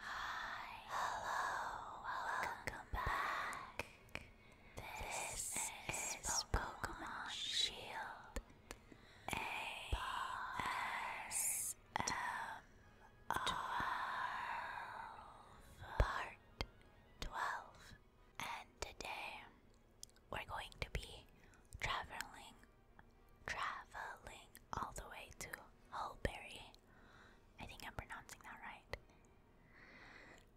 Hi, hello, welcome back. This, is, Pokemon Shield ASMR Part 12, and today we're going to be traveling, traveling all the way to Hullberry. I think I'm pronouncing that right.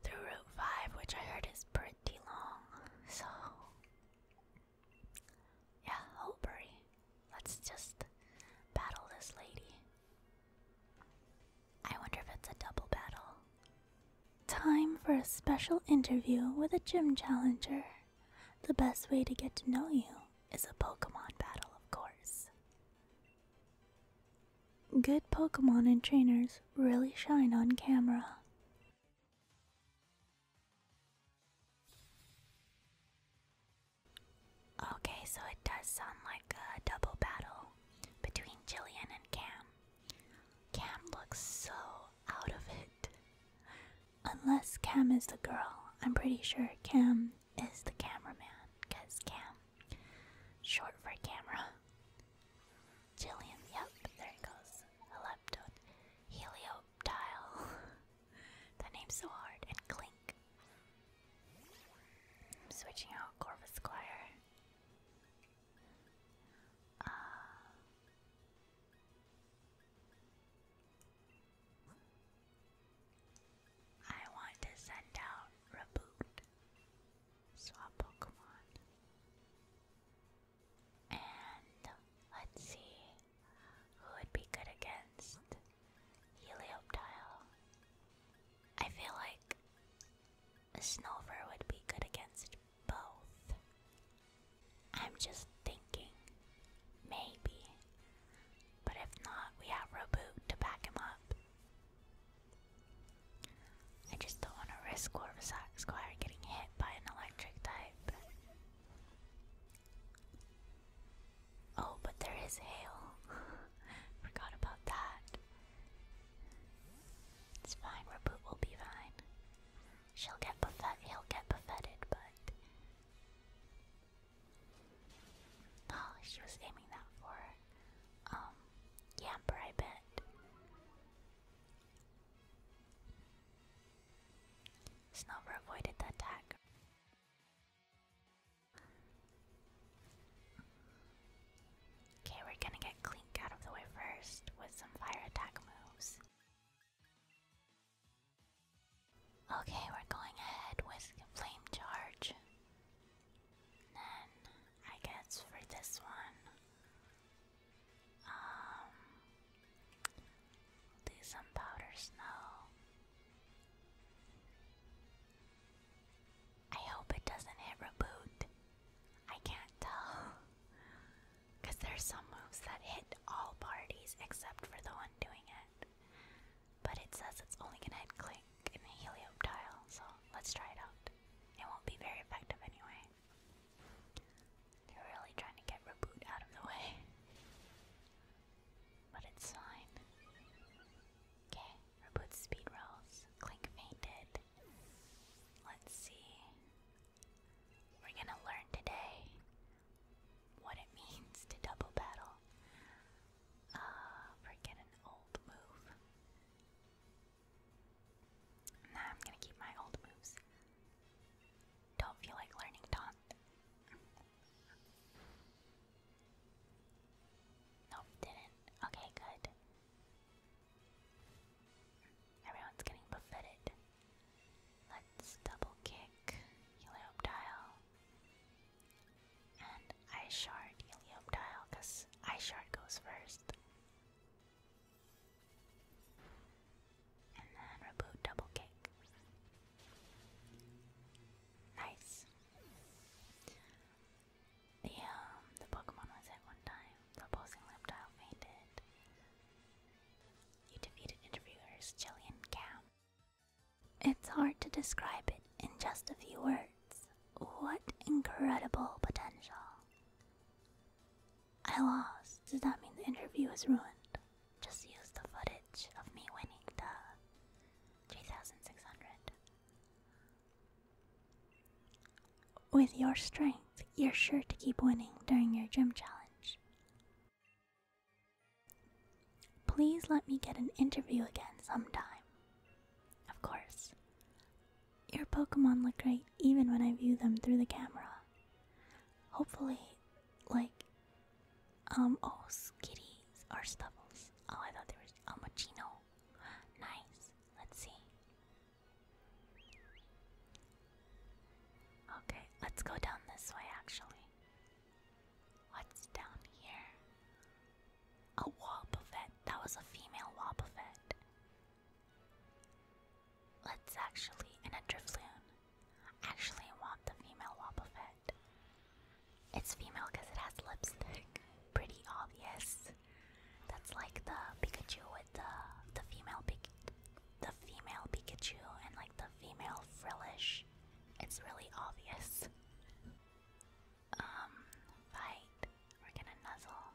Through Route 5, which I heard is pretty long, so yeah, Hullberry. Let's just battle this lady. I wonder if it's a double battle. Time for a special interview with a gym challenger. The best way to get to know you is a Pokemon battle, of course. Good Pokemon and trainers really shine on camera. Okay, so it does sound like a double battle between Jillian and Cam. Cam looks so out of it. Unless Cam is the girl, I'm pretty sure Cam is the cameraman, because Cam, short for camera. Jillian, yep, there he goes. Eleptode, helioptile. that name's so hard. And Clink. I'm switching out Corvus Squire. Uh, I want to send out Reboot, swap Pokemon, and let's see who would be good against Helioptile. I feel like a Snover would be good against both. I'm just thinking, maybe. But if not, we have Roboot to back him up. I just don't want to risk War Squire getting hit by an electric type. Oh, but there is hail. Forgot about that. It's fine, Reboot will be fine. She'll get buffet he'll get buffeted, but Oh, she was aiming that for um Yamper, I bet. Snover avoided the attack. Okay, we're gonna get Clink out of the way first with some fire attack moves. Okay, we're going ahead with Flame Charge. then, I guess for this one, um, do some Powder Snow. I hope it doesn't hit reboot. I can't tell. there's some moves that hit all parties except for the one doing it. But it says it's only gonna hit Clink and Helioptile, so let's try it out. It won't be very effective anyway. They're really trying to get Reboot out of the way. But it's fine. Okay, Reboot speed rolls. Clink fainted. Let's see. We're gonna learn today what it means to double battle. Uh, forget an old move. I'm gonna keep my old moves. Don't feel like learning taunt. Nope, didn't. Okay, good. Everyone's getting buffeted. Let's double kick Helioptile. And Ice Shard Helioptile, because Ice Shard goes first. And then Reboot double kick. Nice. The, um, the Pokemon was at one time. The opposing Liptile fainted. You defeated interviewers Jillian Cam. It's hard to describe it in just a few words. What incredible potential. I lost. Does that mean the interview is ruined? Just use the footage of me winning the 3600. With your strength, you're sure to keep winning during your gym challenge. Please let me get an interview again sometime. Of course. Your Pokemon look great even when I view them through the camera. Hopefully, like, um, oh, Skitties or Stubbles. Oh, I thought there was um, oh, Machino nice. Let's see. Okay, let's go down this way actually. What's down here? A Wobbuffet. That was a female Wobbuffet. Let's actually, and a Drifloon. Actually, want the female Wobbuffet. It's female because it has lipstick. Pretty obvious. That's like the Pikachu with the the female Pikachu and like the female frillish. It's really obvious. Um, fight. We're gonna nuzzle.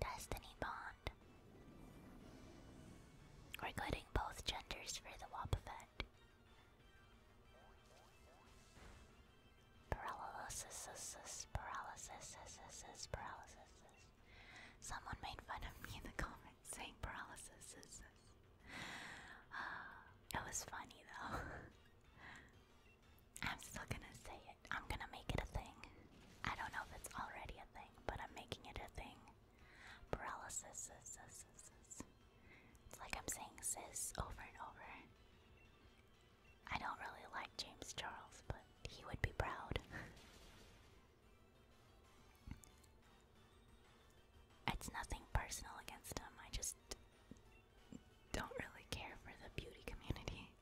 Destiny Bond. We're getting both genders for the WAP Wobbuffet. Paralysis, paralysis, paralysis. Someone made fun of me in the comments saying paralysis. Uh, it was funny though. I'm still gonna say it. I'm gonna make it a thing. I don't know if it's already a thing, but I'm making it a thing. Paralysis. It's like I'm saying sis over and over. I don't really like James Charles, but he would be proud. it's nothing personal against him, I just don't really care for the beauty community.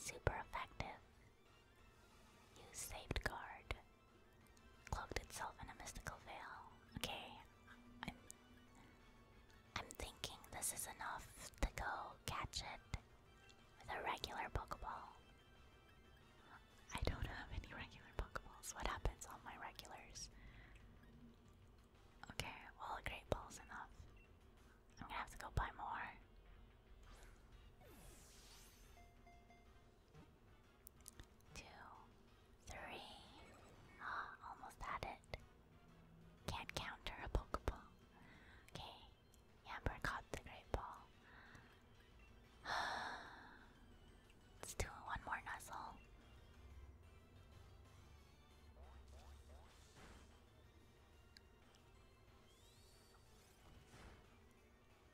Super effective. You saved cloaked itself in a mystical veil. Okay, I'm. I'm thinking this is enough to go catch it with a regular Pokeball. I don't have any regular Pokeballs. What happens on my regulars? Okay, well, a Great Ball's enough. I'm gonna have to go buy more two, three. Ah, almost had it. Can't counter a Pokeball. Okay, Yamper caught the Great Ball. Let's do one more nuzzle.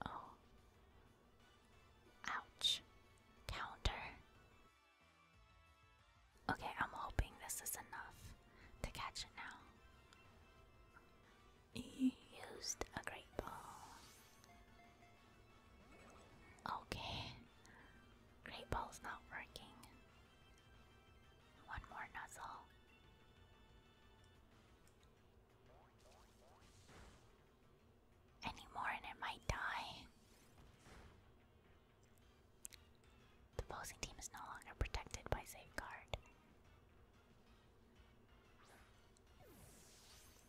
Oh, Ouch. Counter. Okay, I'm hoping this is enough to catch it now. used a great ball. Okay. Great ball's not working. One more nuzzle anymore and it might die. The opposing team is no longer protected by safeguard.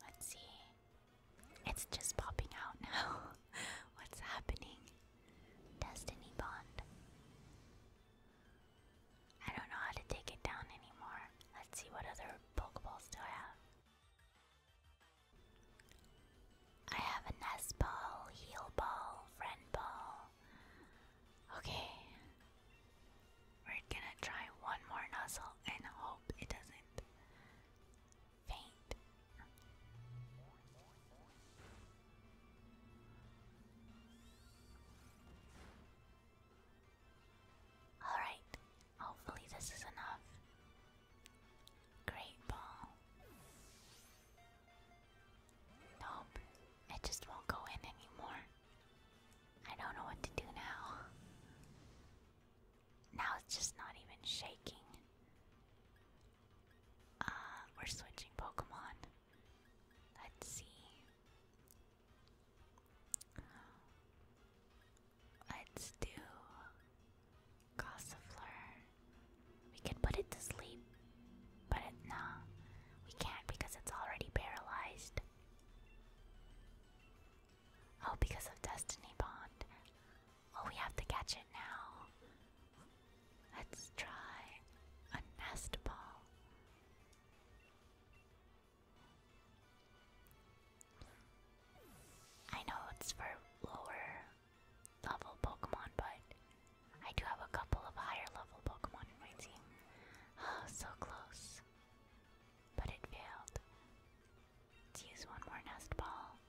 Let's see. It's just popping out now. What's happening? Destiny Bond. I don't know how to take it down anymore. Let's see what other Pokeballs do I have. I have a nest ball, heel ball, friend ball. Okay. We're gonna try one more nuzzle and hope it doesn't faint. Alright, hopefully this is enough. Great ball. Nope, it just won't go in anymore. I don't know what to do now. Now it's just not even shaking. Uh, we're switching Pokemon. Let's see. Let's do Gossifleur. We can put it to sleep, but it, nah, we can't because it's already paralyzed. Oh, because of Destiny Bond. Oh, we have to catch it now. Let's try a nest ball. I know it's for lower level Pokemon, but I do have a couple of higher level Pokemon in my team. Oh, so close. But it failed. Let's use one more Nest Ball.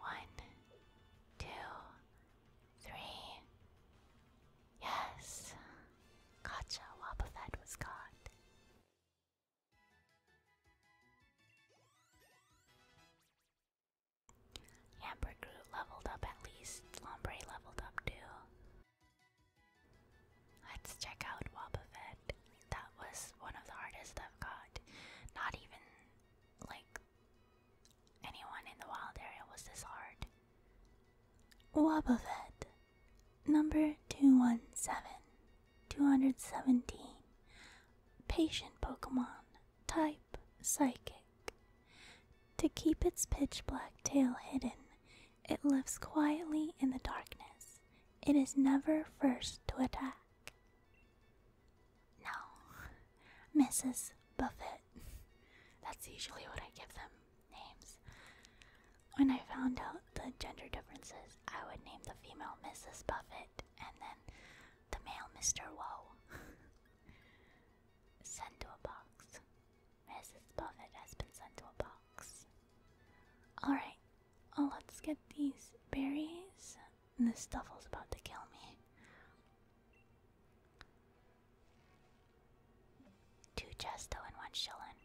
One, two, three, Yes. Gotcha, Wobbuffet was caught. Ambergroot leveled up at least. Lombre leveled up too. Let's check out Wobbuffet. That was one of the hardest I've got. Not even like anyone in the wild area was this hard. Wobbuffet. Number 217 217 Patient Pokemon Type Psychic To keep its pitch black tail hidden, it lives quietly in the darkness. It is never first to attack. No, Mrs. Buffett. That's usually what I give them names. When I found out the gender differences, I would name the female Mrs. Buffett and then the male Mr. Woe. sent to a box. Mrs. Buffett has been sent to a box. Alright, well, let's get these berries. This stuffle's about to kill me. Two Chesto and one Shillin.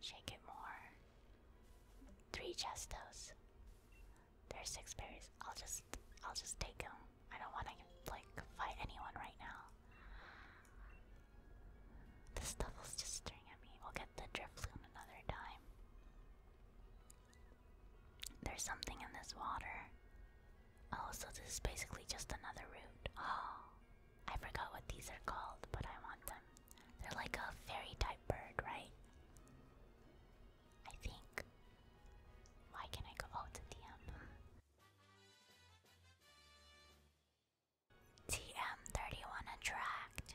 Shake it more. Three Chestos. There's six berries. I'll just, I'll just take them. I don't want to like fight anyone right now. This devil's just staring at me. We'll get the driftloon another time. There's something in this water. Oh, so this is basically just another route. Oh, I forgot what these are called, but I want them. They're like a fairy type bird, right? I think. Why can I go? Oh, it's TM31 Attract.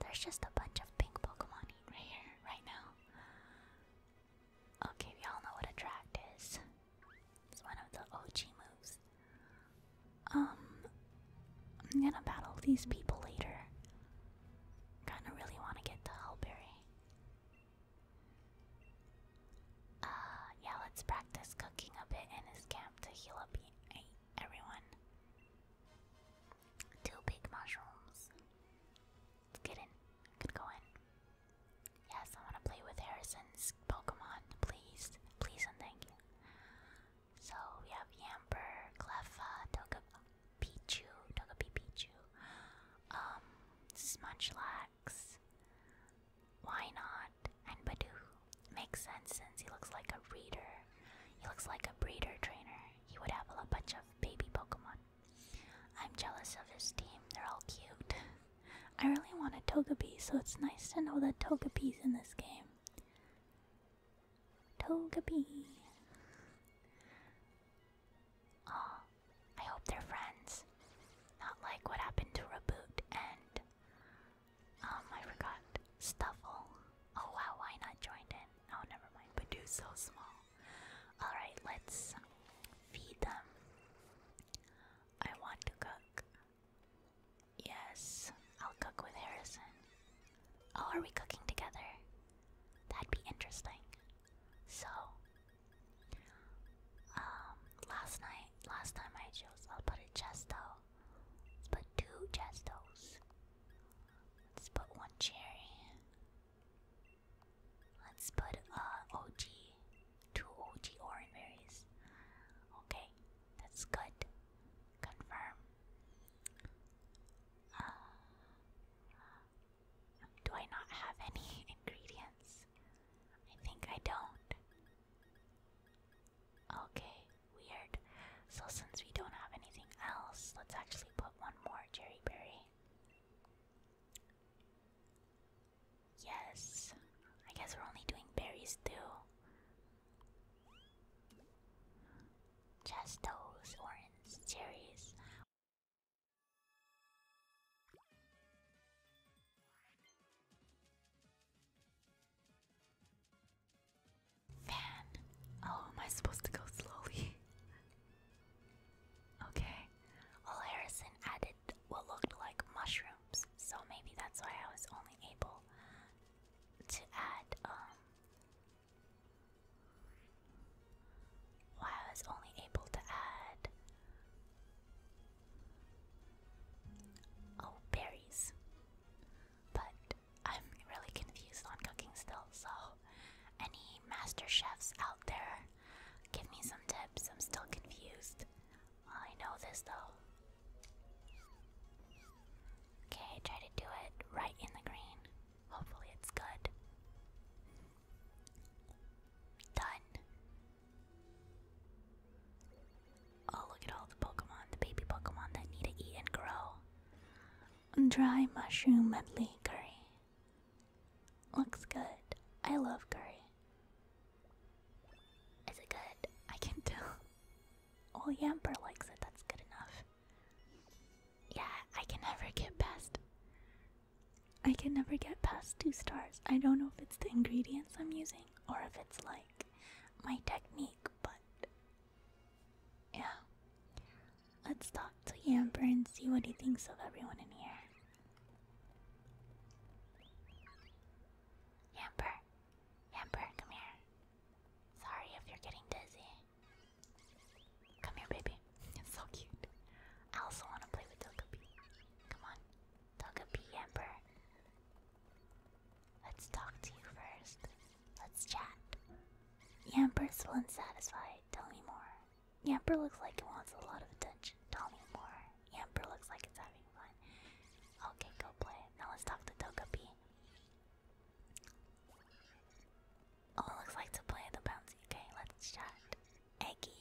There's just a bunch of pink Pokemon right here, right now. Okay, we all know what Attract is. It's one of the OG moves. Um, I'm gonna battle these people later. Kinda really want to get the hulberry. Uh, yeah, let's practice cooking a bit in his camp to heal up everyone. Two big mushrooms. get in. Could go Yes, I want to play with Harrison's Pokemon, please. Please and thank you. So we have Yamper, Cleffa, Togepichu, Togepichu, um, Munchlax, Why Not, and Badoo. Makes sense since he looks like a breeder. He looks like a breeder trainer. He would have a bunch of baby Pokemon. I'm jealous of his team, they're all cute. I really want a toga bee, so it's nice to know that toga Togepi's in this game. Toga bee. Oh, I hope they're friends. Not like what happened to Reboot and um I forgot Stuffle. Oh wow, why not joined in? Oh never mind, But Badoo's so small. Alright, let's feed them. I want to cook. Yes, I'll cook with Harrison. Oh, are we cooking together? That'd be interesting. So, um, last night, last time I chose, I'll put a chesto. Let's put two chestos. Let's put one cherry. Let's put a uh, OG Two OG Orimaries. Okay, that's good. Confirm. Uh, do I not have any ingredients? I think I don't. Okay, weird. So, since we don't have anything else, let's actually put one more cherry berry. Yes. I guess we're only doing berries too. Chestos, orange, cherries. Fan. Oh, am I supposed to go slowly? okay. Well, Harrison added what looked like mushrooms, so maybe that's why I was only able to add um, why I was only able to add oh berries. But I'm really confused on cooking still, so any master chefs out there, give me some tips. I'm still confused. I know this though. Okay, try to do it right in the green. Hopefully, it's good. Done. Oh, look at all the Pokemon, the baby Pokemon that need to eat and grow. Dry mushroom medley curry. Looks good. I love curry. Is it good? I can tell. Oh, Yamper likes it. That's good enough. Yeah, I can never get past. I can never get past two stars. I don't know if it's the ingredients I'm using or if it's like my technique, but yeah. Let's talk to Yamper and see what he thinks of everyone in here. Yamper, Yamper, come here. Sorry if you're getting dizzy. Come here, baby. It's so cute. I also want to play with Togepi. Come on, Togepi, Yamper. Let's talk to you first. Let's chat. Yamper's still unsatisfied. Tell me more. Yamper looks like it wants a lot of attention. Tell me more. Amber looks like it's having fun. Okay, go play. Now let's talk to Togepi. Oh, it looks like to play the bouncy. Okay, let's chat. Eggy.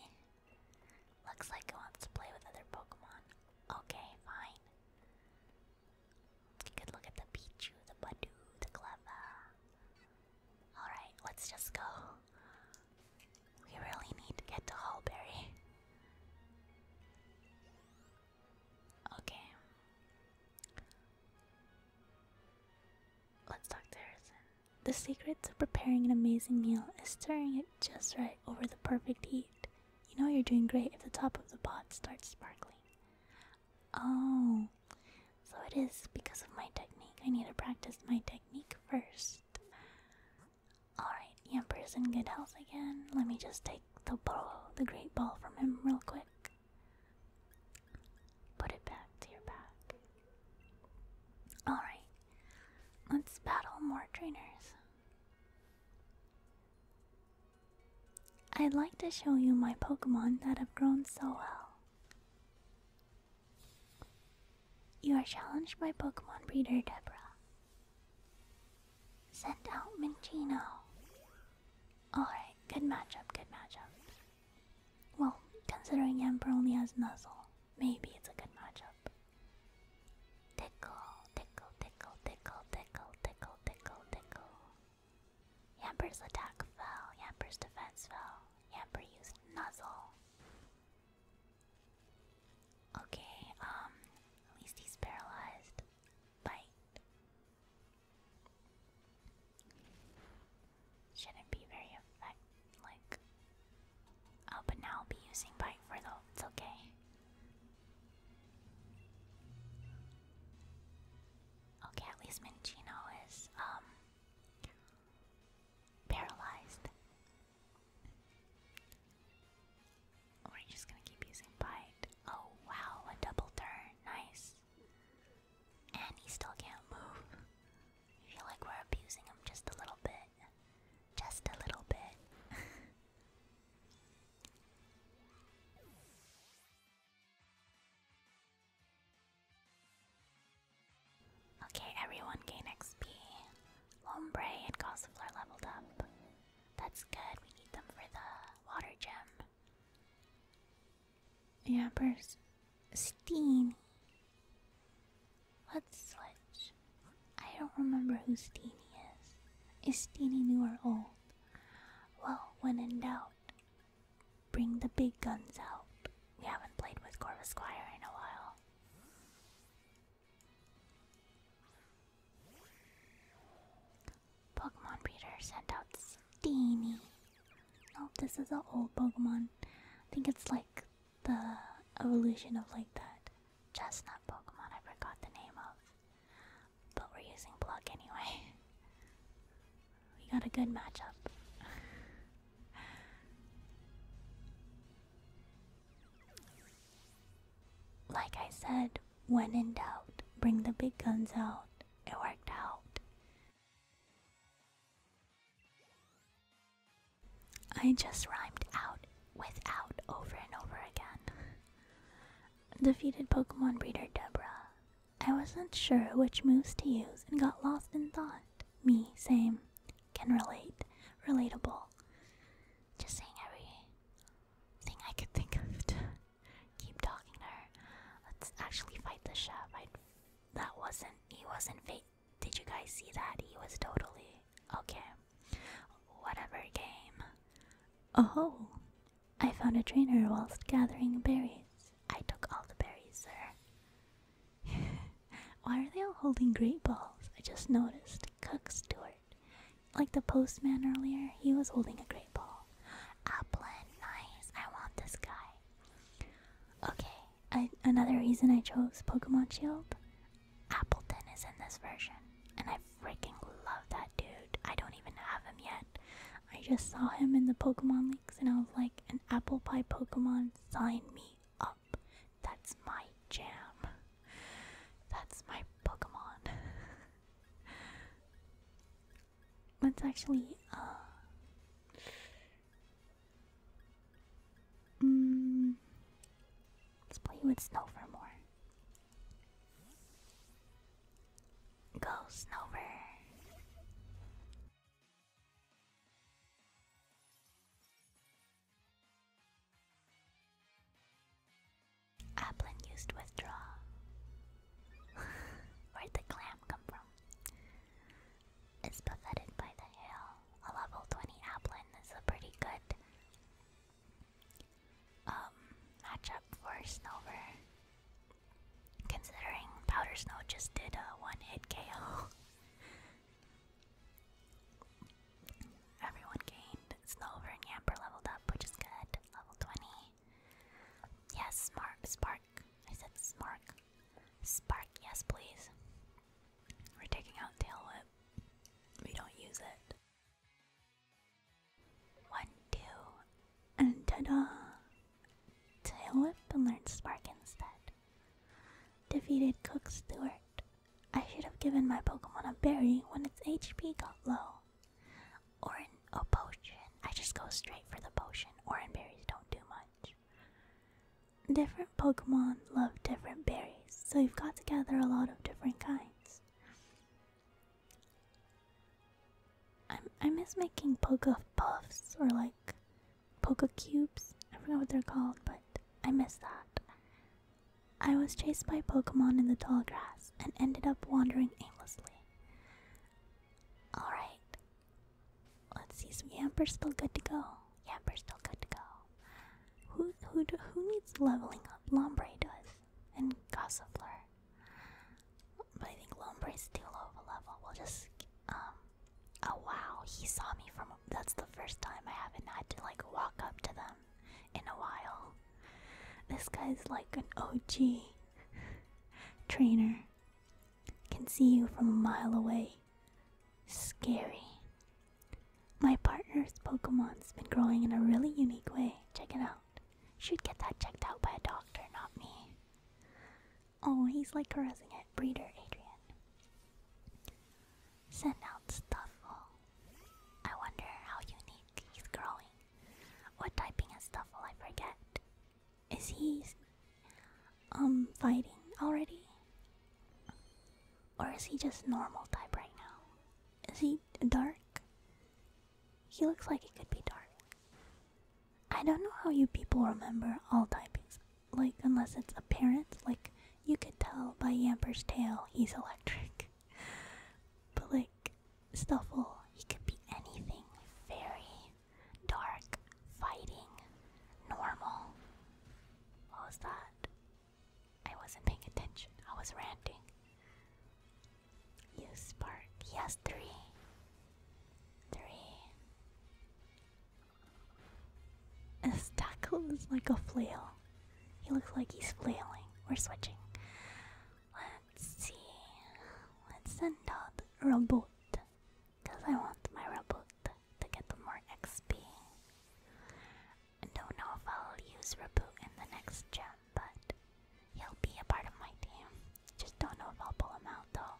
Looks like it wants to play with other Pokemon. Okay, fine. You could look at the Pichu, the Badoo, the Clever. Alright, let's just go. We really need to get to Hallberry. Okay. Let's talk to Harrison. The secret to preparing an amazing meal is stirring it just right over the perfect heat. You know you're doing great if the top of the pot starts sparkling. Oh, so it is because of my technique. I need to practice my technique first. Alright, Yamper's in good health again. Let me just take the ball, the great ball from him real quick. Put it back to your back. Alright, let's battle more trainers. I'd like to show you my Pokemon that have grown so well. You are challenged by Pokemon Breeder Deborah. Send out Minchino. Alright, good matchup, good matchup. Well, considering Emperor only has Nuzzle, maybe it's a good matchup. Tickle, tickle, tickle, tickle, tickle, tickle, tickle, tickle. Yamper's attack fell, Yamper's defense fell, Yamper used Nuzzle. Okay, um, at least he's paralyzed. Bite. Shouldn't be very effective, Oh, but now I'll be using bite for though, it's okay. Okay, at least Minchino is, um, paralyzed. We're oh, just gonna keep using bite. Oh wow, a double turn, nice. And he still can't move. I feel like we're abusing him just a little bit. Just a little bit. okay, everyone gain XP. Lombre and Gossifleur leveled up. That's good, we need them for the water gem. Yappers. Steeny. Let's switch. I don't remember who Steeny is. Is Steeny new or old? Well, when in doubt, bring the big guns out. We haven't played with Corvus Squire in a while. Pokemon Breeder sent out Steenie. Nope, oh, this is an old Pokemon. I think it's like the evolution of like that chestnut Pokemon I forgot the name of. But we're using Block anyway. We got a good matchup. Like I said, when in doubt, bring the big guns out. It worked out. I just rhymed out with over and over again. Defeated Pokemon breeder Debra. I wasn't sure which moves to use and got lost in thought. Me, same. Can relate. Relatable just saying everything I could think of keep talking to Let's actually fight the chef. that wasn't he wasn't fake. Did you guys see that? He was totally okay. Whatever game. Oh, I found a trainer whilst gathering berries. I took all the berries, sir. Why are they all holding grape balls? I just noticed. Cook, steward, like the postman earlier, he was holding a great ball. Applin, nice. I want this guy. Okay, another reason I chose Pokemon Shield. Appleton is in this version, and I freaking love that dude. I don't even have him yet. I just saw him in the Pokemon leaks, and I was like, an apple pie Pokemon, sign me up. That's my jam. That's my Pokemon. Let's actually, uh, mm, let's play with Snow for more. Go, Snover! Applin used withdraw. Where'd the clam come from? It's buffeted by the hail. A level 20 Applin is a pretty good um matchup for Snover. Considering Powder Snow just did a one-hit KO. Everyone gained. Snover and Yamper leveled up, which is good. Level 20. Yes, Spark, Spark. I said Spark. Spark, yes, please. We're taking out Tail Whip. We don't use it. One, two, and ta-da! Tail Whip and learned Spark instead. Defeated Cook Stewart. I should have given my Pokemon a berry when its HP got low. Or an a potion. I just go straight for the potion. Orange berries don't do much. Different Pokemon love different berries, so you've got to gather a lot of different kinds. I, miss making Poke Puffs or like Poke Cubes. I forget what they're called, but I miss that. I was chased by Pokemon in the tall grass and ended up wandering aimlessly. Alright. Let's see, so Yamper's still good to go. Yamper's still good to go. Who who who needs leveling up? Lombre does. And Gossifleur. But I think Lombre's too low of a level. We'll just um oh wow, he saw me from that's the first time I haven't had to like walk up to them in a while. This guy's like an OG trainer. Can see you from a mile away. Scary. My partner's Pokemon's been growing in a really unique way. Check it out. Should get that checked out by a doctor, not me. Oh, he's like caressing it. Breeder Adrian send out Stuffle. Oh, I wonder how unique he's growing. What typing is Stuffle? I forget. Is he um fighting already? Or is he just normal type right now? Is he dark? He looks like he could be dark. I don't know how you people remember all typings. Like, unless it's apparent, like you can tell by Yamper's tail he's electric. But like Stuffle, he could be anything very dark, fighting, normal. What was that? I wasn't paying attention. I was ranting. You spark. He has three. Three. A stackle is like a flail. He looks like he's flailing. We're switching. Let's see. Let's send out robot. Because I want my robot to get more XP. I don't know if I'll use Reboot in the next gem, but he'll be a part of my team. Just don't know if I'll pull him out though.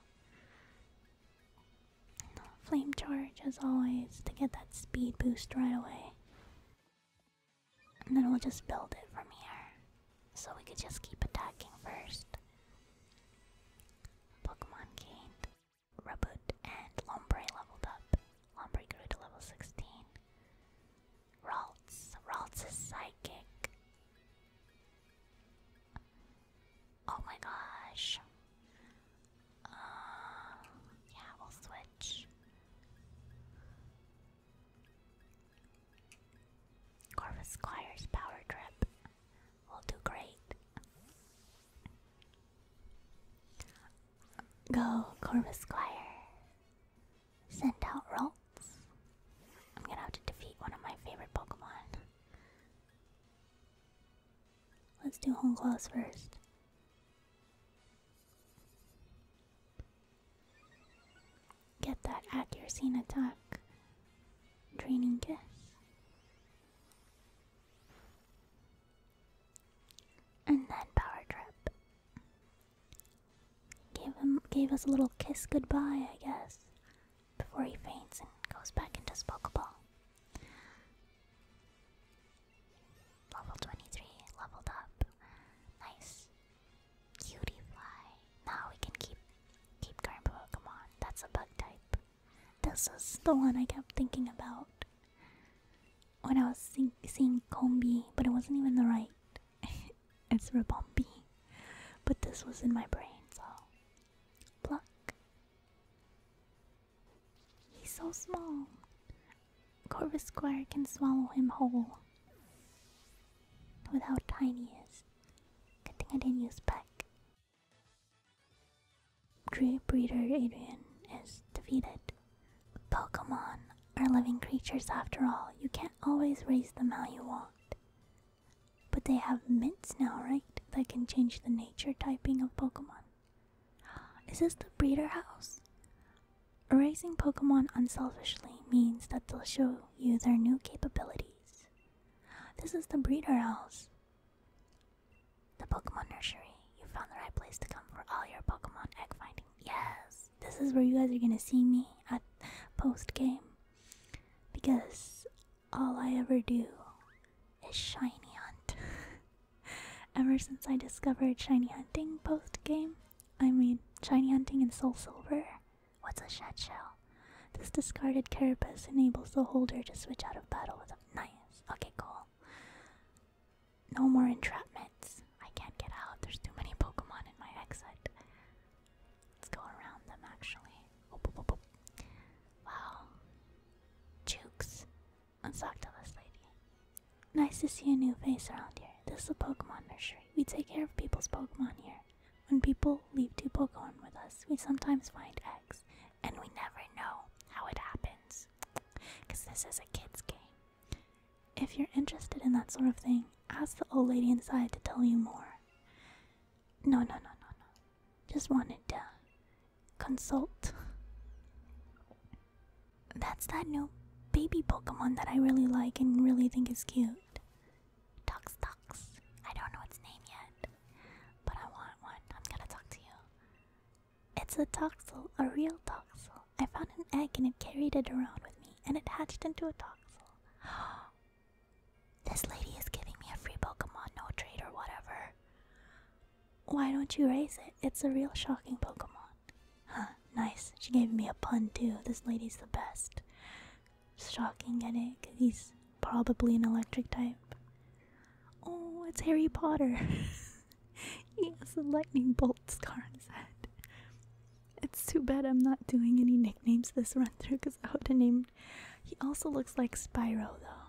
Flame Charge, as always, to get that speed boost right away. And then we'll just build it from here. So we could just keep attacking first. Pokemon gained. Raboot and Lombre leveled up. Lombre grew to level 16. Ralts. Ralts is psychic. Oh my gosh. Um, yeah, we'll switch. Corvus power trip. will do great. Go, Corvus Send out Rolts. I'm gonna have to defeat one of my favorite Pokemon. Let's do Home first. Get that accuracy and attack. Draining guess. And then power trip. Gave him gave us a little kiss goodbye, I guess. Before he faints and goes back into his Level 23, leveled up. Nice. Cutie fly. Now we can keep keep current Pokemon. That's a bug type. This is the one I kept thinking about when I was seeing Combi, but it wasn't even the right. it's Rabombi. But this was in my brain, so pluck. He's so small. Corvus Square can swallow him whole. With how tiny he is. Good thing I didn't Breeder Adrian is defeated. Pokemon are living creatures after all. You can't always raise them how you want. But they have mints now, right? That can change the nature typing of Pokemon. Is this the breeder house? Raising Pokemon unselfishly means that they'll show you their new capabilities. This is the breeder house. The Pokemon nursery. You found the right place to come for all your Pokemon egg finding. Yes, this is where you guys are gonna see me at post game. Because all I ever do is shiny hunt. Ever since I discovered shiny hunting post game, I mean, shiny hunting in Soul Silver. What's a shed shell? This discarded carapace enables the holder to switch out of battle with a nice. Okay, cool. No more entrapments. I can't get out. There's too many Pokemon in my exit. Let's go around them actually. Wow. Jukes. Let's talk to this lady. Nice to see a new face around here. This is a Pokemon nursery. We take care of people's Pokemon here. When people leave two Pokemon with us, we sometimes find eggs, and we never know how it happens. Because this is a kid's game. If you're interested in that sort of thing, ask the old lady inside to tell you more. No, no, no, no, no. Just wanted to Consult. That's that new baby Pokemon that I really like and really think is cute. Tox Tox. I don't know its name yet, but I want one. I'm gonna talk to you. It's a toxel, a real toxel. I found an egg and it carried it around with me, and it hatched into a toxel. this lady is giving me a free Pokemon, no trade or whatever. Why don't you raise it? It's a real shocking Pokemon. Huh, nice. She gave me a pun too. This lady's the best. Shocking at it, cause he's probably an electric type. Oh, it's Harry Potter. he has a lightning bolt scar on his head. It's too bad I'm not doing any nicknames this run through because I would have named. He also looks like Spyro though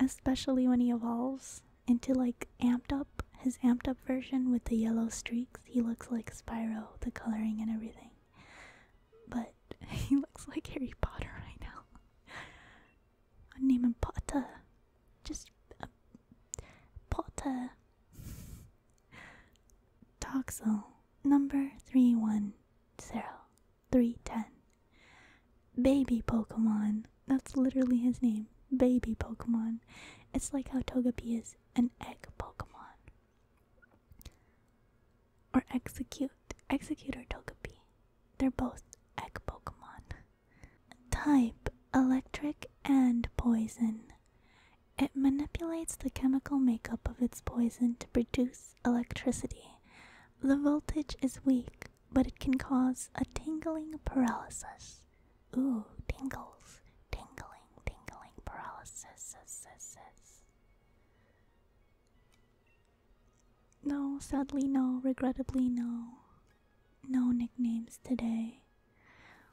especially when he evolves into like amped up his amped up version with the yellow streaks he looks like spyro the coloring and everything but he looks like harry potter right now i name him potter just uh, potter toxel number three one zero three ten. Baby Pokemon. That's literally his name. Baby Pokemon. It's like how Togepi is an egg Pokemon. Or Execute. Executor or Togepi. They're both egg Pokemon. Type Electric and Poison. It manipulates the chemical makeup of its poison to produce electricity. The voltage is weak, but it can cause a tingling paralysis. Ooh, tingles. Tingling, tingling paralysis. No, sadly, no, regrettably, no. No nicknames today.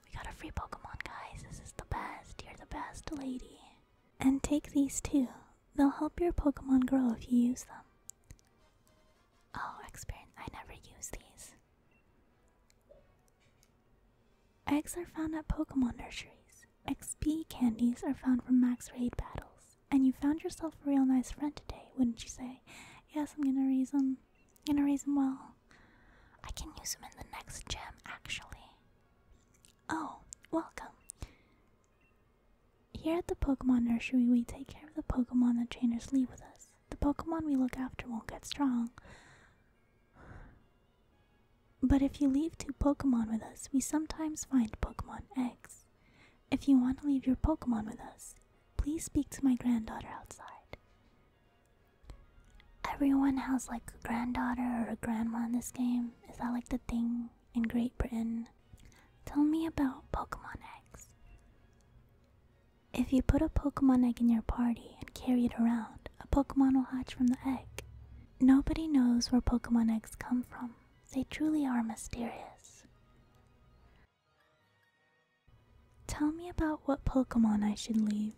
We got a free Pokemon, guys. This is the best. You're the best, lady. And take these too. They'll help your Pokemon grow if you use them. Oh, experience. I never use these. Eggs are found at Pokemon nurseries. XP candies are found from max raid battles. And you found yourself a real nice friend today, wouldn't you say? Yes, I'm gonna raise him. gonna raise him well. I can use him in the next gym, actually. Oh, welcome. Here at the Pokemon Nursery, we take care of the Pokemon that trainers leave with us. The Pokemon we look after won't get strong. But if you leave two Pokemon with us, we sometimes find Pokemon eggs. If you want to leave your Pokemon with us, please speak to my granddaughter outside. Everyone has like a granddaughter or a grandma in this game. Is that like the thing in Great Britain? Tell me about Pokemon eggs. If you put a Pokemon egg in your party and carry it around, a Pokemon will hatch from the egg. Nobody knows where Pokemon eggs come from, they truly are mysterious. Tell me about what Pokemon I should leave.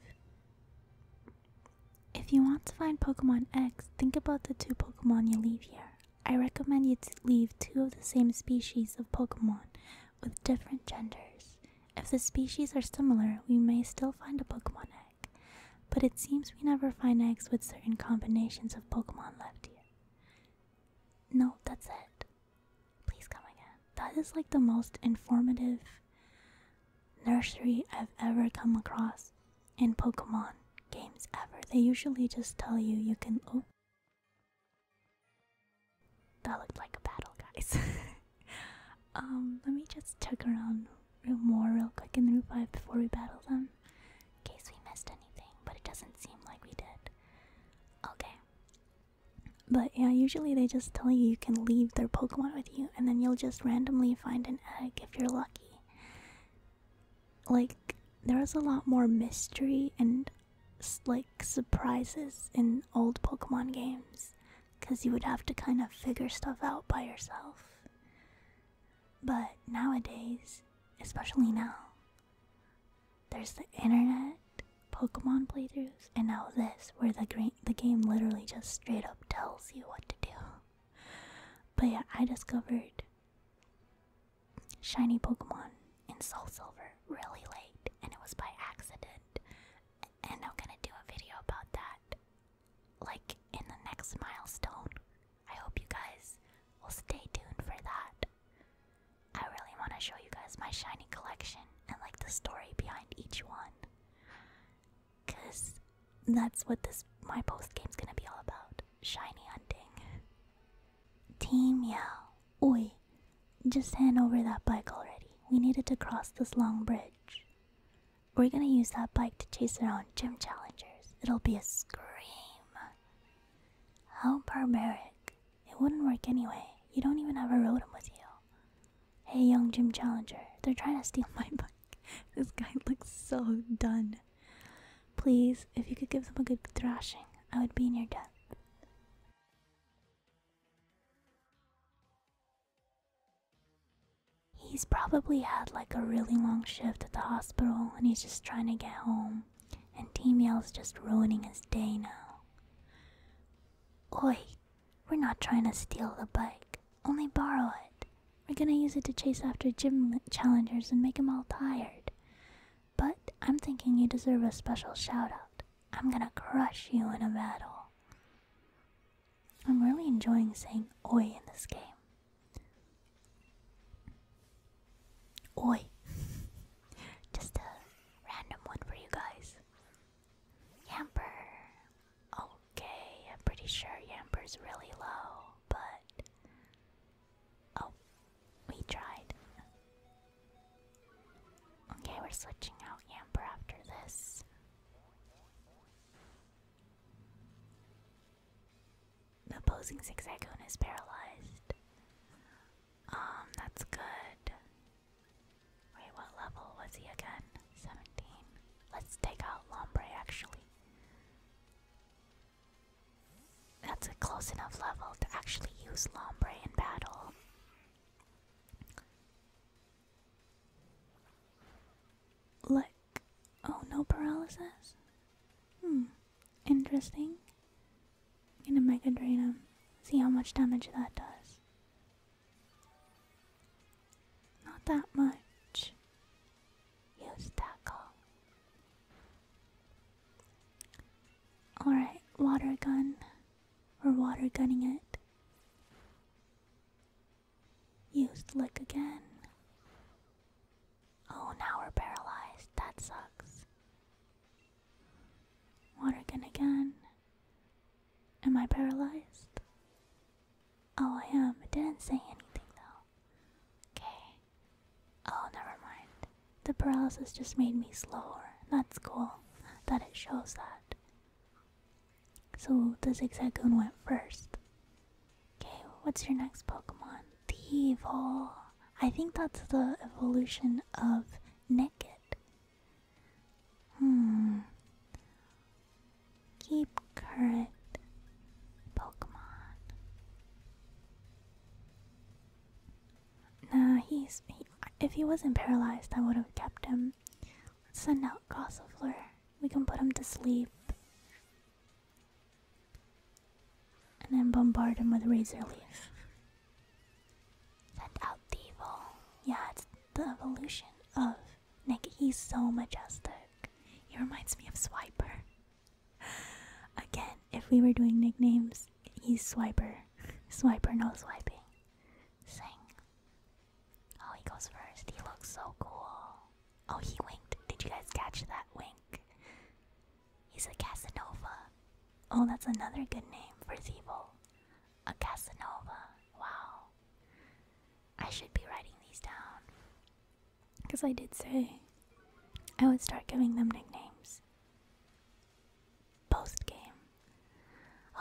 If you want to find Pokemon eggs, think about the two Pokemon you leave here I recommend you to leave two of the same species of Pokemon with different genders. If the species are similar, we may still find a Pokemon egg, but it seems we never find eggs with certain combinations of Pokemon left here. No, that's it. Please come again. That is like the most informative nursery I've ever come across in Pokemon games ever. They usually just tell you you can. Oh, that looked like a battle, guys. um, let me just tuck around real more real quick in the Route 5 before we battle them. In case we missed anything, but it doesn't seem like we did. Okay. But yeah, usually they just tell you you can leave their Pokemon with you, and then you'll just randomly find an egg if you're lucky. Like, there was a lot more mystery and like surprises in old Pokemon games because you would have to kind of figure stuff out by yourself. But nowadays, especially now, there's the internet, Pokemon playthroughs, and now this, where the, game literally just straight up tells you what to do. But yeah, I discovered shiny Pokemon in Soul Silver really late, and it was by accident. And I'm gonna do a video about that, like in the next milestone. I hope you guys will stay tuned for that. I really want to show you guys my shiny collection and like the story behind each one. Cause that's what this my post game's gonna be all about. Shiny hunting. Team Yao. Oi, just hand over that bike already. We needed to cross this long bridge. We're gonna use that bike to chase around gym challengers. It'll be a scream. How barbaric. It wouldn't work anyway. You don't even have a rotom with you. Hey, young gym challenger, they're trying to steal my bike. this guy looks so done. Please, if you could give them a good thrashing, I would be near death. He's probably had like a really long shift at the hospital and he's just trying to get home. And Team Yell's just ruining his day now. Oi, we're not trying to steal the bike, only borrow it. We're gonna use it to chase after gym challengers and make 'em all tired. But I'm thinking you deserve a special shout out. I'm gonna crush you in a battle. I'm really enjoying saying oi in this game. Oi. Just a random one for you guys. Yamper. Okay, I'm pretty sure Yamper's really low, but. Oh, we tried. Okay, we're switching out Amber after this. The opposing Zigzagoon is paralyzed. Um, that's good. Wait, what level was he again? 17. Let's take out Lombre actually. That's a close enough level to actually use Lombre in battle. Like, oh no paralysis? Hmm, interesting. gonna Mega Drain him, um, see how much damage that does. Not that much. Use Tackle. Alright, water gun. We're water gunning it. Used lick again. Oh, now we're paralyzed. That sucks. Water gun again. Am I paralyzed? Oh, I am. It didn't say anything though. Okay. Oh, never mind. The paralysis just made me slower. That's cool that it shows that. So the Zigzagoon went first. Okay, what's your next Pokemon? Thievul. I think that's the evolution of Nickit. Hmm. Keep current Pokemon. Nah, he's. if he wasn't paralyzed, I would have kept him. Let's send out Gossifleur. We can put him to sleep. And then bombard him with Razor Leaf. Send out the Yeah, it's the evolution of Nick. He's so majestic. He reminds me of Swiper. Again, if we were doing nicknames, he's Swiper. Swiper, no swiping. Sing. Oh, he goes first. He looks so cool. Oh, he winked. Did you guys catch that wink? He's a Casanova. Oh, that's another good name for Zeeble. A Casanova. Wow. I should be writing these down. Because I did say I would start giving them nicknames post game.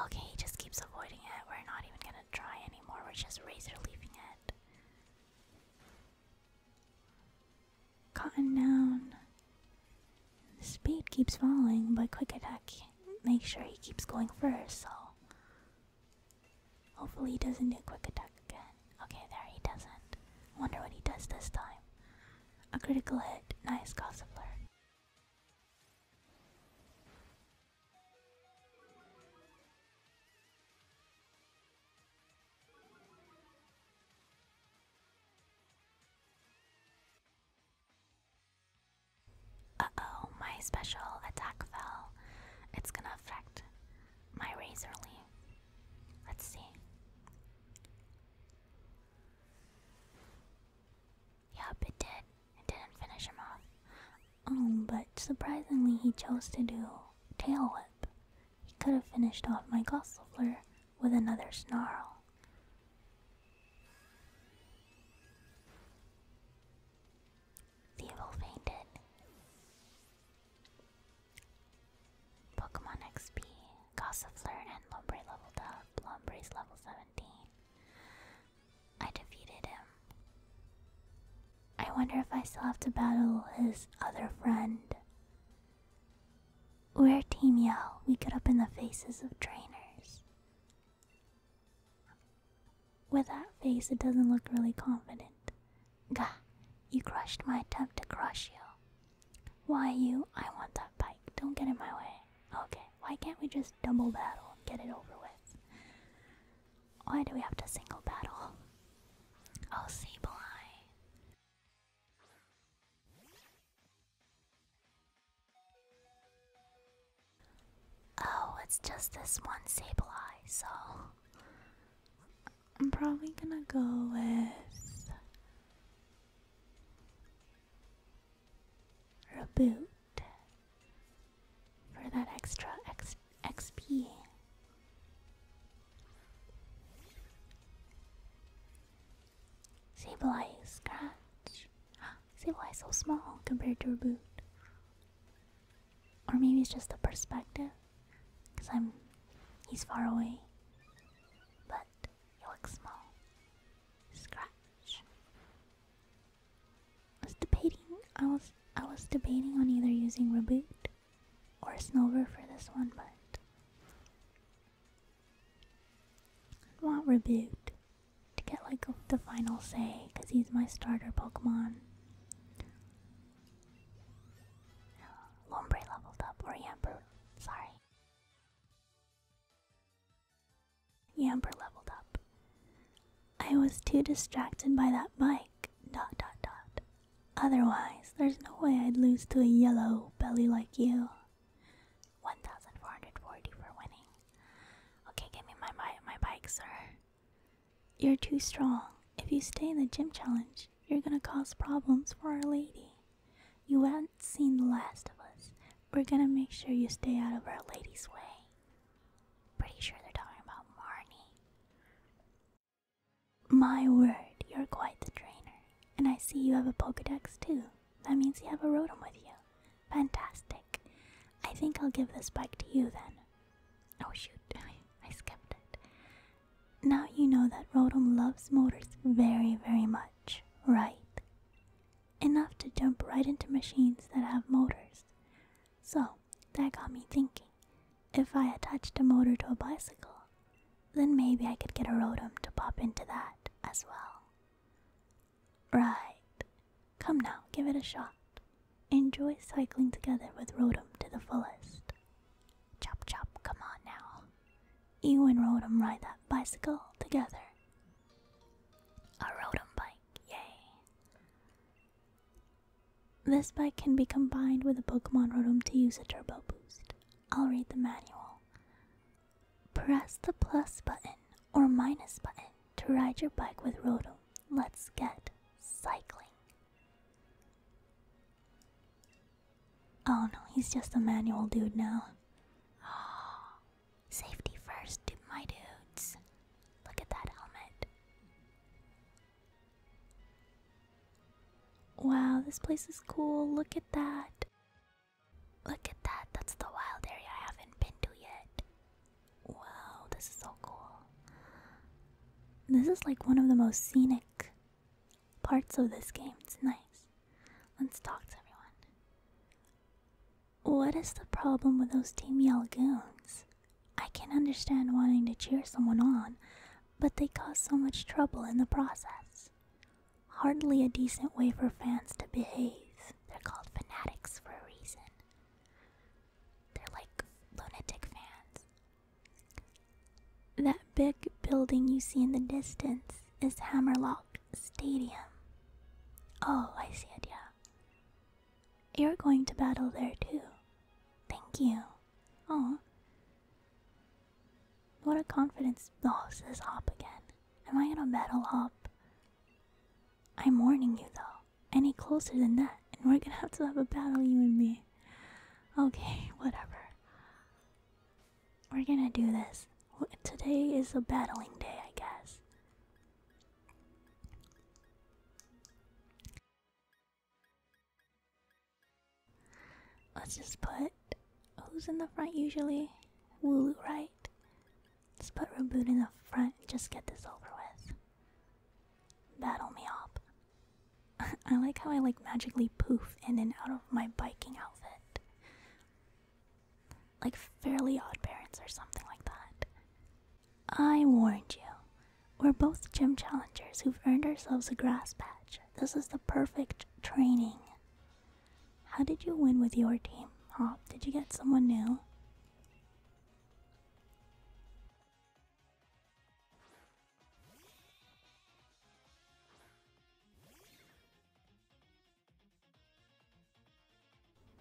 Okay, he just keeps avoiding it. We're not even gonna try anymore. We're just razor leaving it. Cotton down. The speed keeps falling, but quick attack make sure he keeps going first, so hopefully he doesn't do quick attack again. Okay, there he doesn't. Wonder what he does this time. A critical hit. Nice Gossifler. Uh-oh, my special attack fell. It's gonna affect my Razor Leaf. Let's see. Yup, it did. It didn't finish him off. Um, but surprisingly, he chose to do Tail Whip. He could have finished off my Gossifleur with another Snarl. Thievul fainted. Pokemon XP, Gossifleur and Lombre leveled up. is level 17. I defeated him. I wonder if I still have to battle his other friend. Where Team Yell. We get up in the faces of trainers. With that face, it doesn't look really confident. Gah, you crushed my attempt to crush you. Why you? I want that bike. Don't get in my way. Okay, why can't we just double battle and get it over with? Why do we have to single battle? Oh, Sableye. Oh, it's just this one Sableye, so. I'm probably gonna go with. Reboot for that extra X XP. Sableye scratch. Sableye so small compared to reboot. Or maybe it's just the perspective, because I'm. he's far away. But you look small. Scratch. I was debating. I was debating on either using Reboot or Snover for this one, but I want Reboot to get like the final say because he's my starter Pokemon. Lombre leveled up, or Yamper, sorry. Yamper leveled up. I was too distracted by that bike. Dot dot dot. Otherwise, there's no way I'd lose to a yellow belly like you. 1440 for winning. Okay, give me my, my bike, sir. You're too strong. If you stay in the gym challenge, you're gonna cause problems for our lady. You haven't seen The Last of Us. We're gonna make sure you stay out of Our Lady's way. Pretty sure they're talking about Marnie. My word, you're quite the trainer. And I see you have a Pokedex too. That means you have a Rotom with you. Fantastic. I think I'll give this bike to you then. Oh shoot, I skipped it. Now you know that Rotom loves motors very, very much, right? Enough to jump right into machines that have motors. So, that got me thinking. If I attached a motor to a bicycle, then maybe I could get a Rotom to pop into that as well. Right. Come now, give it a shot. Enjoy cycling together with Rotom to the fullest. Chop chop, come on now. You and Rotom ride that bicycle together. A Rotom bike, yay. This bike can be combined with a Pokemon Rotom to use a turbo boost. I'll read the manual. Press the plus button or minus button to ride your bike with Rotom. Let's get cycling. Oh no, he's just a manual dude now. Safety first, my dudes. Look at that helmet. Wow, this place is cool. Look at that. Look at that. That's the wild area I haven't been to yet. Wow, this is so cool. This is like one of the most scenic parts of this game. It's nice. Let's talk to everyone. What is the problem with those Team Yell goons? I can understand wanting to cheer someone on, but they cause so much trouble in the process. Hardly a decent way for fans to behave. They're called fanatics for a reason. They're like lunatic fans. That big building you see in the distance is Hammerlock Stadium. Oh, I see it, yeah. You're going to battle there too. Thank you. Oh. What a confidence. Oh, says Hop again. Am I gonna battle Hop? I'm warning you though. Any closer than that, and we're gonna have to have a battle, you and me. Okay, whatever. We're gonna do this. Today is a battling day, I guess. Let's just put. Who's in the front usually? Wooloo, right? Just put Reboot in the front and just get this over with. Battle me up. I like how I like magically poof in and out of my biking outfit. Like fairly odd parents or something like that. I warned you. We're both gym challengers who've earned ourselves a grass patch. This is the perfect training. How did you win with your team, Oh, Did you get someone new?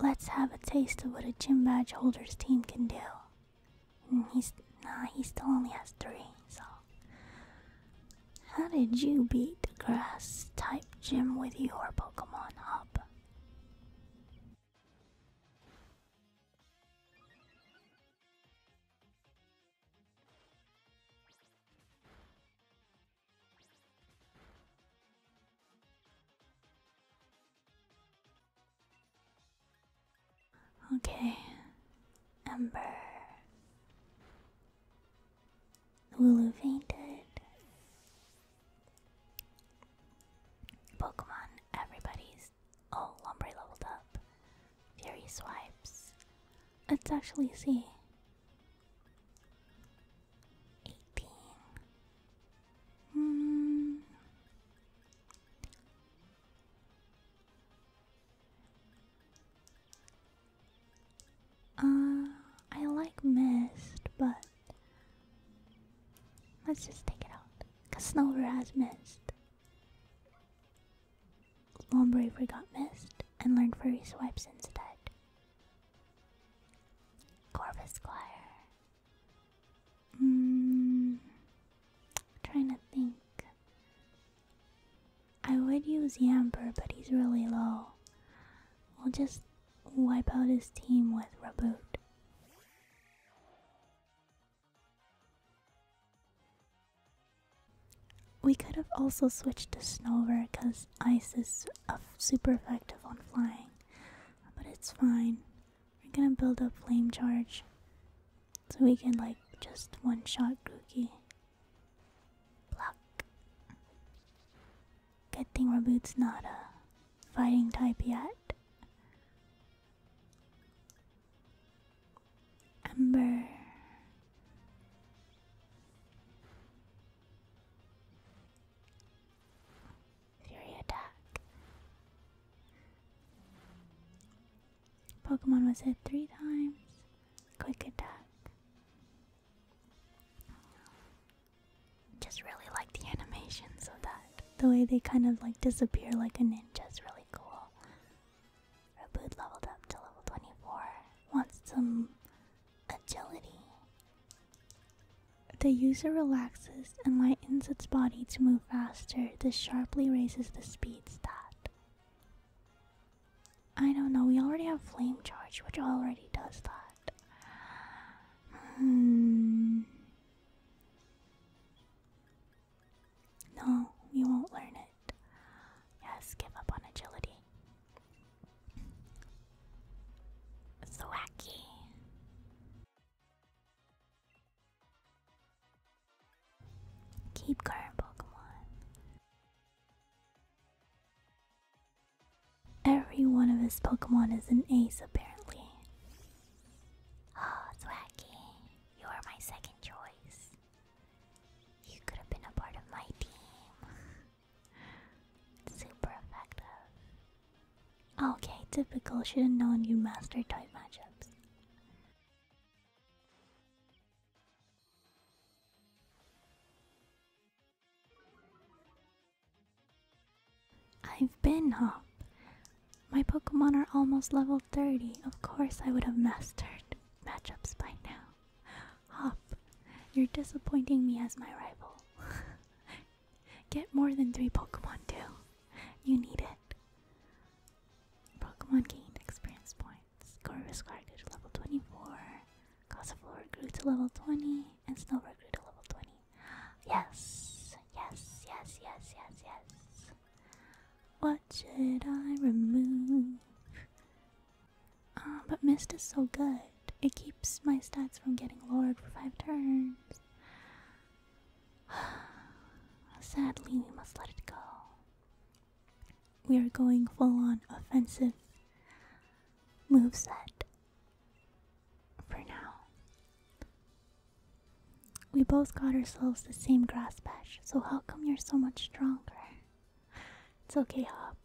Let's have a taste of what a gym badge holder's team can do. he's nah, he still only has three, so how did you beat the grass type gym with your Pokemon Hub? Okay, Ember. Lulu fainted. Pokemon, everybody's. Oh, Lombre leveled up. Fury swipes. Let's actually see. 18. Hmm. Uh, I like mist, but let's just take it out. Cause Snover has mist. Lombraver got missed and learned Furry Swipes instead. Corvus Squire. Mm, trying to think. I would use Yamper, but he's really low. We'll just wipe out his team with Raboot. We could have also switched to Snover because ice is super effective on flying, but it's fine. We're gonna build up Flame Charge so we can, like, just one shot Grookey. Block. Good thing Raboot's not a fighting type yet. Amber. Fury attack. Pokemon was hit three times. Quick attack. Just really like the animations of that. The way they kind of like disappear like a ninja is really cool. Raboot leveled up to level 24. Wants some agility. The user relaxes and lightens its body to move faster. This sharply raises the speed stat. I don't know, we already have flame charge, which already does that. Hmm. No, we won't learn it. Yes, give up on agility. It's wacky. Keep current Pokemon. Every one of his Pokemon is an ace, apparently. Oh, Thwacky, you are my second choice. You could have been a part of my team. Super effective. Okay, typical. Should have known you master type matchups. I've been up. My Pokemon are almost level 30. Of course, I would have mastered matchups by now. Hop, you're disappointing me as my rival. Get more than three Pokemon, too. You need it. Pokemon gained experience points. Corviscar grew to level 24. Gossiflor grew to level 20. And Snowbird grew to level 20. Yes, yes, yes, yes, yes, yes. What should I remove? Ah, but Mist is so good. It keeps my stats from getting lowered for five turns. Sadly, we must let it go. We are going full on offensive moveset for now. We both got ourselves the same grass patch, so how come you're so much stronger? It's okay, Hop.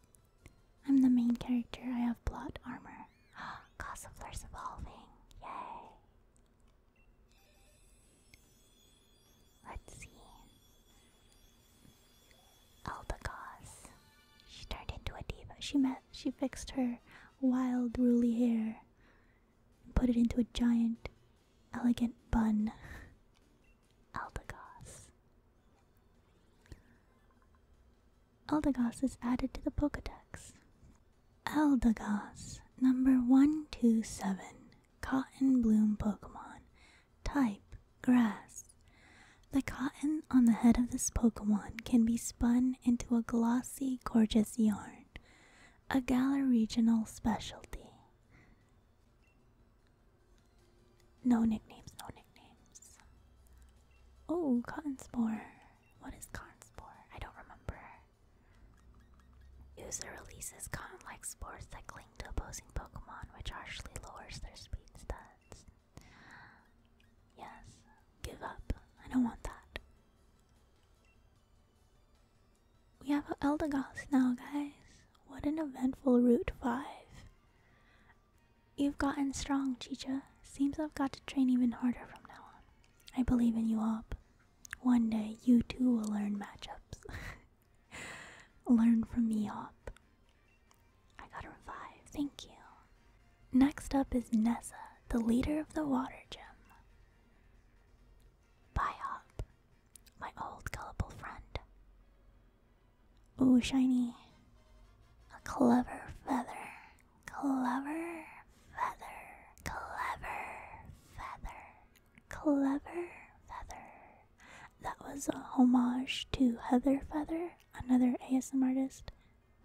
I'm the main character. I have plot armor. Gossiflare's evolving. Yay. Let's see. Eldegoss. She turned into a diva. She met she fixed her wild ruly hair and put it into a giant elegant bun. Eldegoss. Eldegoss is added to the Pokedex. Eldegoss, number 127, Cotton Bloom Pokemon. Type Grass. The cotton on the head of this Pokemon can be spun into a glossy, gorgeous yarn, a Galar regional specialty. No nicknames, no nicknames. Oh, cotton spore. What is cotton spore? I don't remember. User releases cotton-like spores that cling to opposing Pokemon, which harshly lowers their speed stats. Yes, give up. I don't want that. We have Eldegoss now, guys. What an eventful Route 5. You've gotten strong, Chicha. Seems I've got to train even harder from now on. I believe in you, Op. One day, you too will learn matchups. learn from me, Op. I got a revive, thank you. Next up is Nessa, the leader of the water Gem. Bye, Op, my old gullible friend. Ooh, shiny. A clever feather. Clever feather. Clever feather. Clever feather. That was a homage to Heather Feather, another ASM artist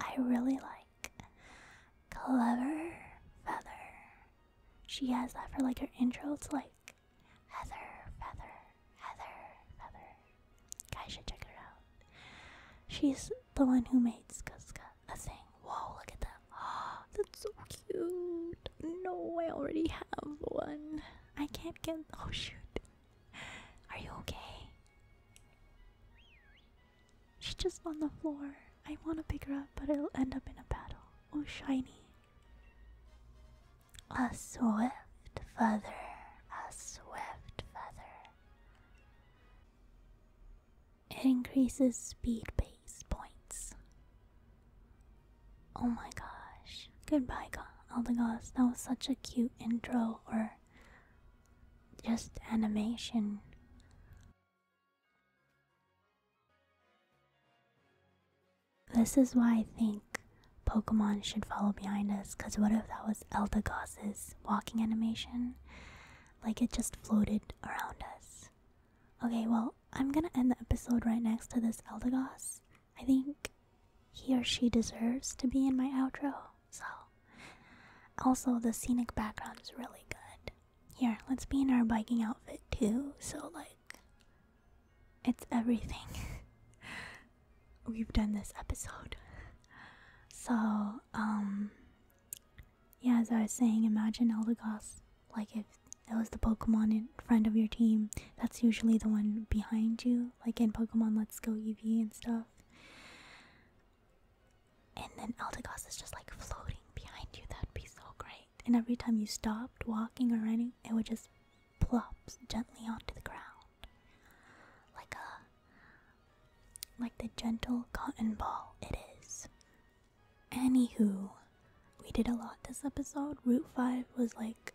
I really like. Clever feather. She has that for like her intro. It's like Heather Feather, Heather Feather. Guys should check her out. She's the one who made Skuska a thing. Whoa, look at that. Oh, that's so cute. No, I already have one. I can't get. Oh, shoot. Are you okay? She's just on the floor. I want to pick her up, but it'll end up in a battle. Oh, shiny. A swift feather, a swift feather. increases speed base points. Oh my gosh. Goodbye, the gods. That was such a cute intro or just animation. This is why I think Pokemon should follow behind us, because what if that was Eldegoss's walking animation? Like it just floated around us. Okay, well, I'm gonna end the episode right next to this Eldegoss. I think he or she deserves to be in my outro, so. Also, the scenic background is really good. Here, let's be in our biking outfit too, so like it's everything. We've done this episode. So, um, yeah, as I was saying, imagine Eldegoss. Like, if it was the Pokemon in front of your team, that's usually the one behind you. Like in Pokemon Let's Go Eevee and stuff. And then Eldegoss is just like floating behind you. That'd be so great. And every time you stopped walking or running, it would just plops gently onto the ground, like a like the gentle cotton ball it is. Anywho, we did a lot this episode. Route five was like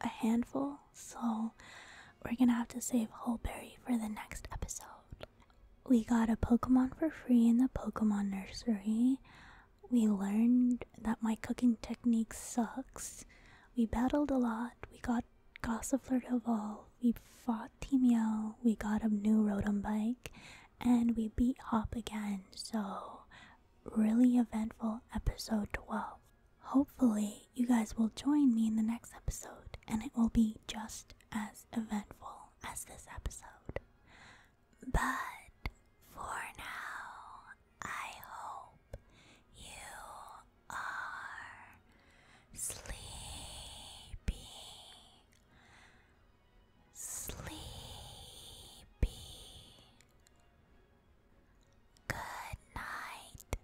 a handful, so we're gonna have to save Hullberry for the next episode. We got a Pokemon for free in the Pokemon Nursery. We learned that my cooking technique sucks. We battled a lot. We got Gossifleur to evolve. We fought Teamio. We got a new Rodom bike. And we beat Hop again. So, really eventful episode 12. Hopefully, you guys will join me in the next episode, and it will be just as eventful as this episode. But for now, I hope you are sleepy, sleepy. Good night.